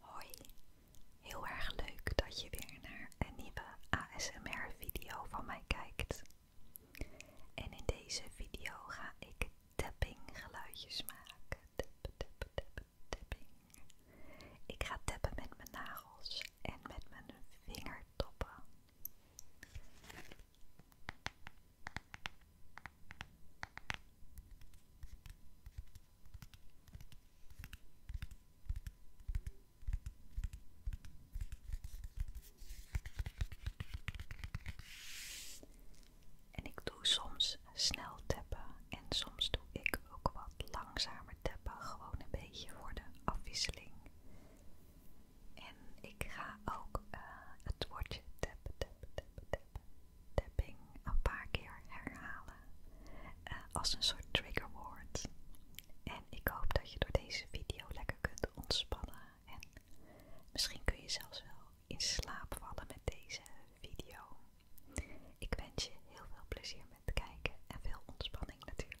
Hoi, heel erg leuk dat je weer naar een nieuwe ASMR-video van mij kijkt. En in deze video ga ik tapping geluidjes maken. Ik ga tappen met mijn nagels en met mijn vingertoppen. En ik doe soms snel tappen en soms doe ik ook wat langzamer tappen, gewoon een beetje voor de afwisseling. En ik ga ook eh, het woordje tap, tap tap tap tapping een paar keer herhalen eh, als een soort trigger word. En ik hoop dat je door deze video lekker kunt ontspannen en misschien kun je zelfs wel in slaap vallen met deze video. Ik wens je heel veel plezier met kijken en veel ontspanning natuurlijk.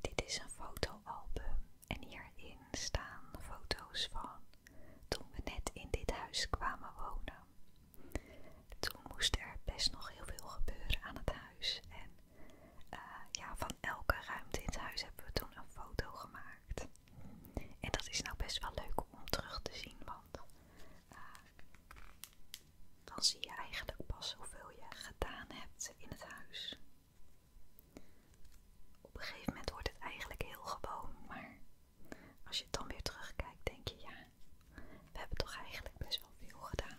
Dit is een fotoalbum en hierin staan foto's van toen we net in dit huis kwamen wonen. Toen moest er best nog heel veel gebeuren aan het huis en eh, ja, van elke ruimte in het huis hebben we toen een foto gemaakt. En dat is nou best wel leuk om terug te zien, want eh, dan zie je eigenlijk pas hoeveel je gedaan hebt in het huis. Op een gegeven moment wordt het eigenlijk heel gewoon, maar als je het dan weer terugkijkt, denk je ja, we hebben toch eigenlijk best wel veel gedaan.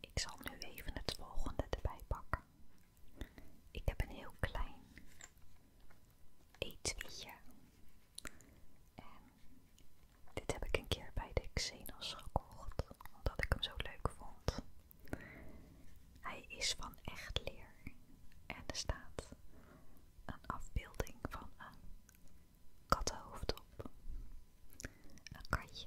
Ik zal nu even het volgende erbij pakken. Ik heb een heel klein etuije En dit heb ik een keer bij de Xenos gekocht, omdat ik hem zo leuk vond. Hij is van echt leer en er staat een afbeelding van een kattenhoofd op. Een katje.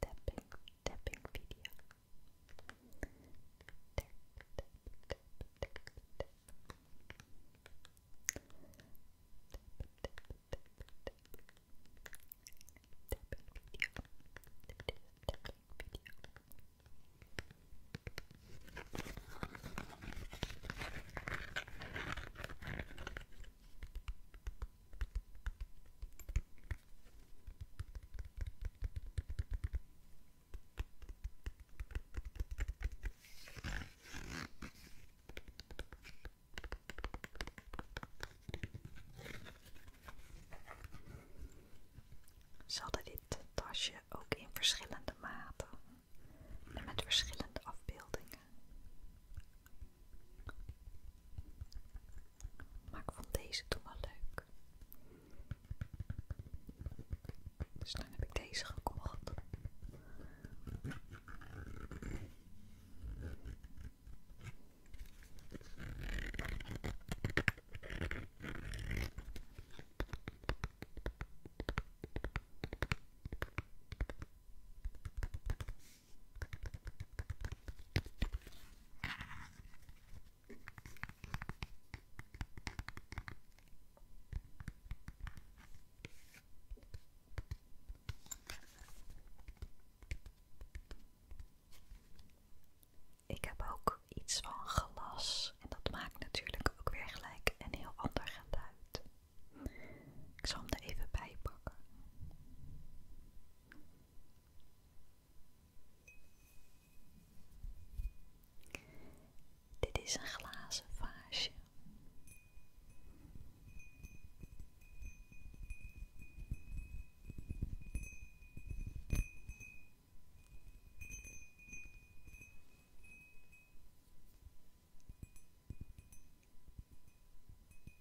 tapping, tapping video. Tap, tap, tap, tap, tap. Tap, tap, tap, tap. Tapping video. Tapping video. Ze dit tasje ook in verschillende maten met verschillende afbeeldingen. Maar ik vond deze toen wel leuk. Dus dan heb ik deze gekocht. Ik heb ook iets van glas en dat maakt natuurlijk ook weer gelijk een heel ander geluid. Ik zal hem er even bij pakken. Dit is een glazen vaasje.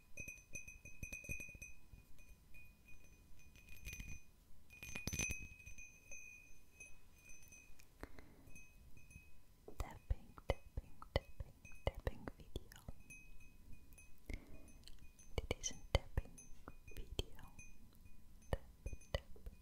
tapping, tapping, tapping video. It is a tapping video. Tap, tap, tap, tap. Tap, tap, tap, tapping.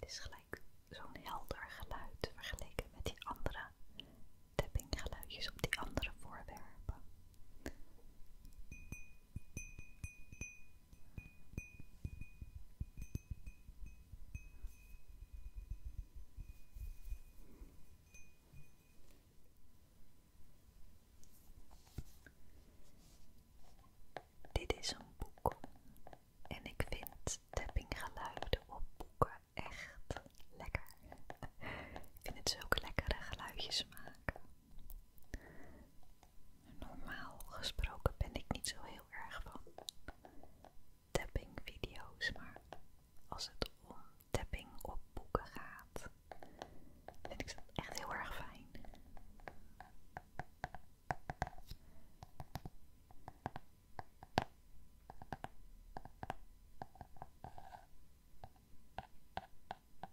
is gelijk zo'n helder geluid vergeleken met die andere geluidjes op die andere voorwerpen. Dit is een boek en ik vind geluiden op boeken echt lekker. Ik vind het zo lekkere geluidjes maken. Normaal gesproken ben ik niet zo heel erg van tapping video's, maar als het om tapping op boeken gaat, vind ik dat echt heel erg fijn.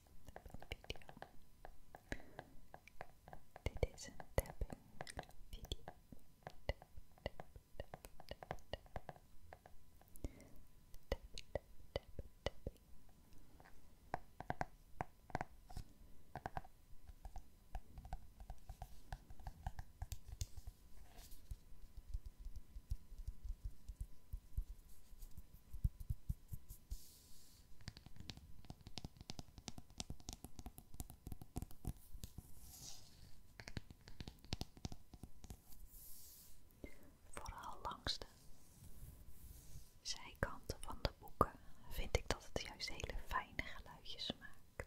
video. It is a video. Vooral langs de zijkanten van de boeken vind ik dat het juist hele fijne geluidjes maakt.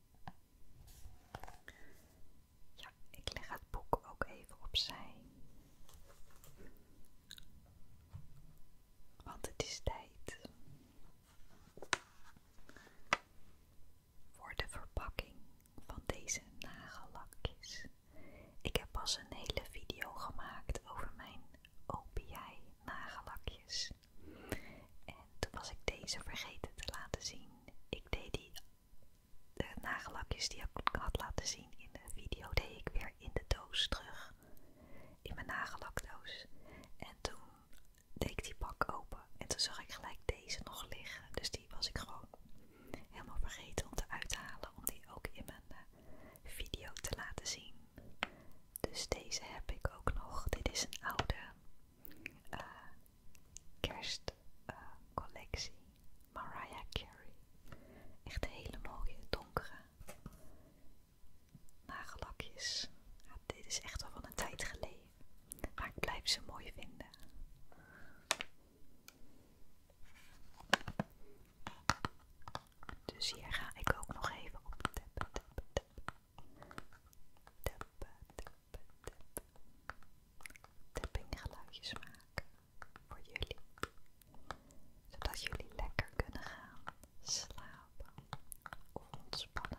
Ja, ik leg het boek ook even opzij. Want het is tijd voor de verpakking van deze nagellakjes. Ik heb pas een hele video gemaakt over mijn OPI nagellakjes. En toen was ik deze vergeten te laten zien. Ik deed die de nagellakjes die ik had laten zien in de video, deed ik weer in de doos terug. In mijn nagellakdoos. En toen deed ik die pak open. En toen zag ik gelijk deze nog liggen. Dus die was ik gewoon helemaal vergeten om te uithalen. Om die ook in mijn eh, video te laten zien. Dus deze heb ik ook nog. Dit is een oude eh, kerstcollectie eh, Mariah Carey. Echt hele mooie donkere nagellakjes. dit is echt wel van een tijd geleden. Maar ik blijf ze mooi vinden. Dus hier ga ik ook nog even op tappen tappinggeluidjes maken voor jullie. Zodat jullie lekker kunnen gaan slapen ontspannen.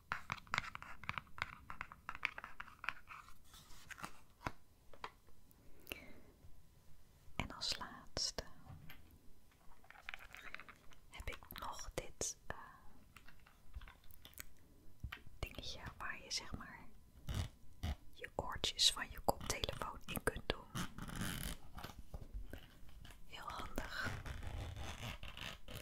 En als laatste heb ik nog dit eh, dingetje waar je zeg maar je oortjes van je koptelefoon in kunt doen. Heel handig.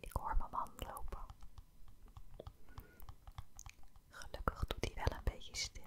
Ik hoor mijn man lopen. Gelukkig doet hij wel een beetje stil.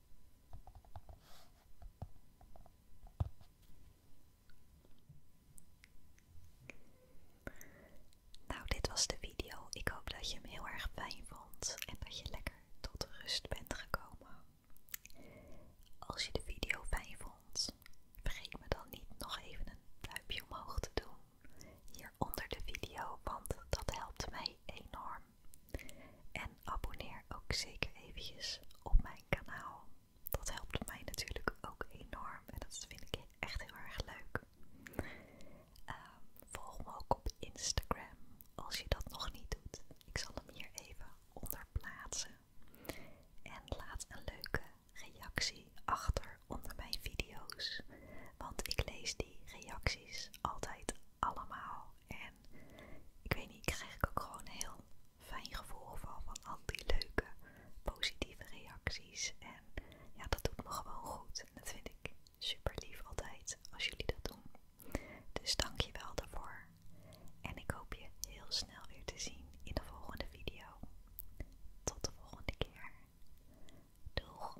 Nou, dit was de video. Ik hoop dat je hem heel erg fijn vond en dat je lekker tot rust bent gekomen. Als je de video fijn vond, vergeet me dan niet nog even een duimpje omhoog te doen hieronder de video, want dat helpt mij enorm. En abonneer ook zeker eventjes op mijn kanaal. Dat helpt mij natuurlijk ook enorm en dat vind ik echt heel erg leuk. Ehm, volg me ook op Instagram als je dat nog niet doet. Ik zal hem hier even onder plaatsen. En laat een leuke reactie achter onder mijn video's. Want ik lees die reacties altijd allemaal. En ik weet niet, ik krijg ik ook gewoon een heel fijn gevoel van, van al die leuke, positieve reacties. En ja, dat doet me gewoon goed. En dat vind ik super lief altijd als jullie dat doen. Dus dank je wel daarvoor. En ik hoop je heel snel weer te zien in de volgende video. Tot de volgende keer. Doeg!